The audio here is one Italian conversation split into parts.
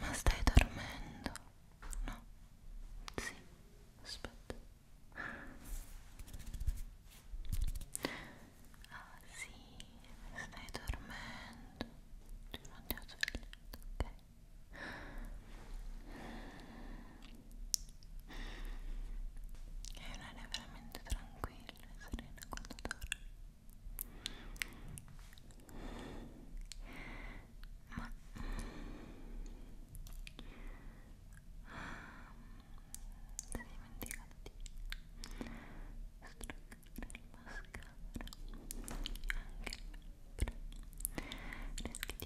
Ma stai dormendo? No? Sì, aspetta. Ah sì, stai dormendo. Ti non ti ho svegliato, ok? è un'area veramente tranquilla e serena quando dormi ma si mm, è dimenticato di struccare il mascara anche il rischi di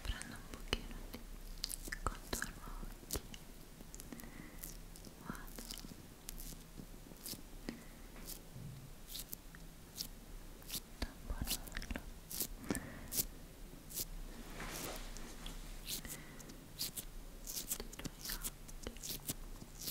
prendo un pochino di contorno occhi vado tamponarlo sui tuoi occhi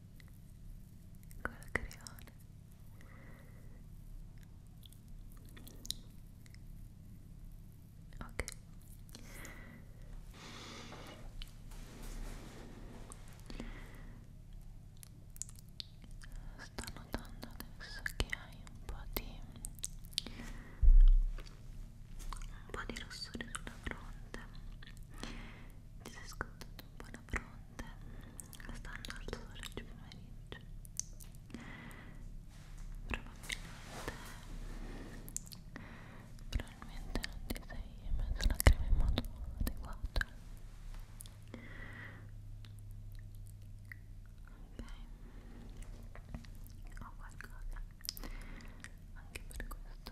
con il crayon ok sto notando adesso che hai un po' di un po' di rossore sulla fronte ti sei scontato un po' la fronte stanno al sole oggi pomeriggio probabilmente probabilmente non ti sei messo la crema in modo adeguato ok ho qualcosa anche per questo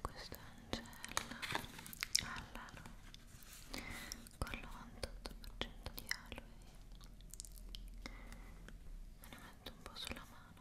Questo è Angela Allaro con il 98% di aloe. Me ne metto un po' sulla mano.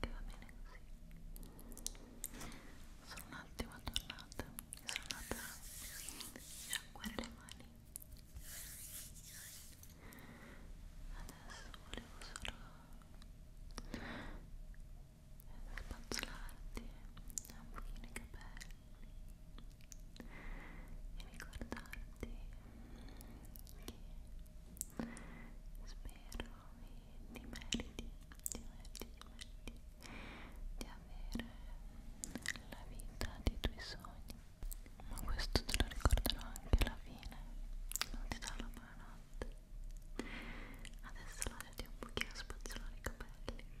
che va bene così sono un attimo tornata mi sono andata a sciacquare le mani adesso volevo solo spazzolarti un pochino i capelli e ricordarti che spero e ti meriti, ti meriti, ti meriti di avere la vita dei tuoi sogni ma questo te lo ricorderò anche alla fine non ti darò la buonanotte adesso lasciati un pochino spazzolare i capelli ok?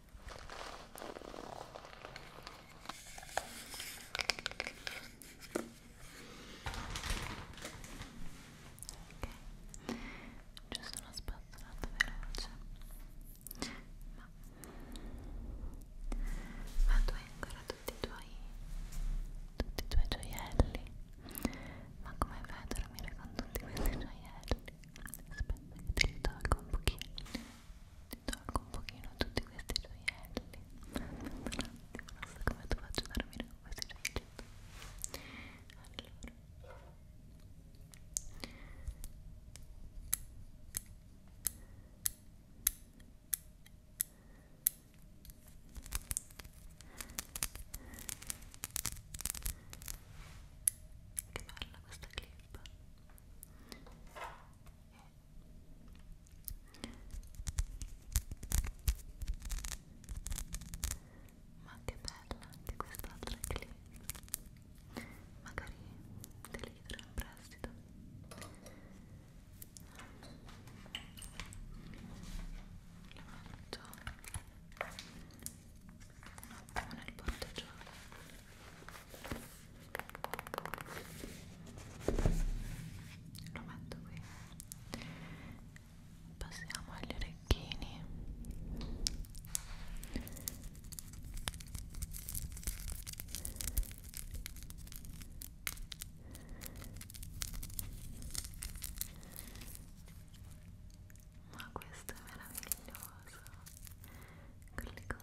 Ok, giusto una spazzolata veloce ma ma tu hai ancora tutti i tuoi tutti i tuoi gioielli ma come fai a dormire con tutti questi gioielli? aspetta che ti li tolgo un pochino ti tolgo un pochino tutti questi gioielli aspetta un attimo, non so come ti faccio a dormire con questi gioielli allora che bella questa clip tape ma che bella anche quest'altra clip magari te li darò in prestito la metto un attimo nel portagioia lo metto qui passiamo agli orecchini ma questo è meraviglioso con le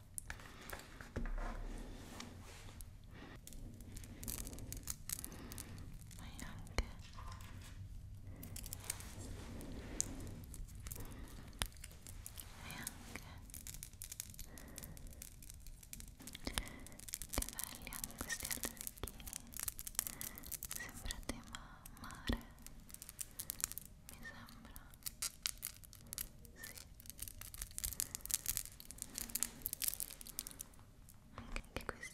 Poi anche e anche che belli anche questi orecchini sembrate ma mare mi sembra anche okay, questo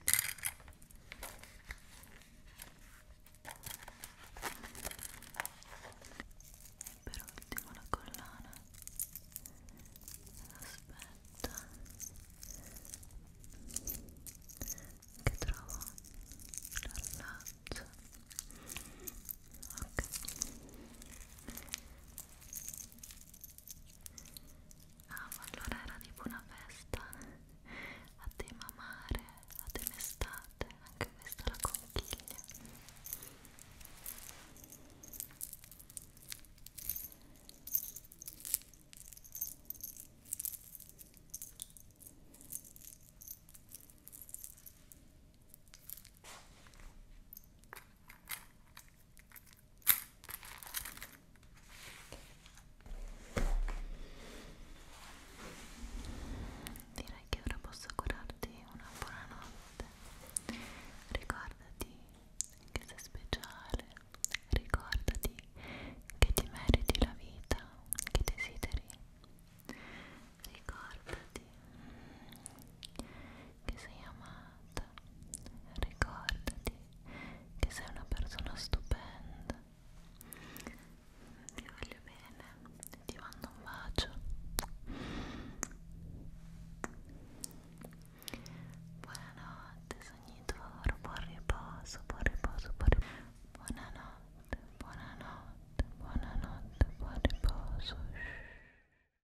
per ultimo la collana aspetta che trovo l'allaccio ok Ah, ma allora era tipo una festa a tema mare, a tema estate, anche questa la conchiglia. Direi che ora posso curarti una buonanotte. Ricordati che sei speciale, ricordati che ti meriti la vita che desideri. Ricordati che sei amata, ricordati che sei una persona stupenda. Ti voglio bene, ti mando un bacio. Buonanotte, sogni d'oro, buon riposo, buon riposo, buon riposo. Buonanotte, buonanotte, buonanotte, buon riposo.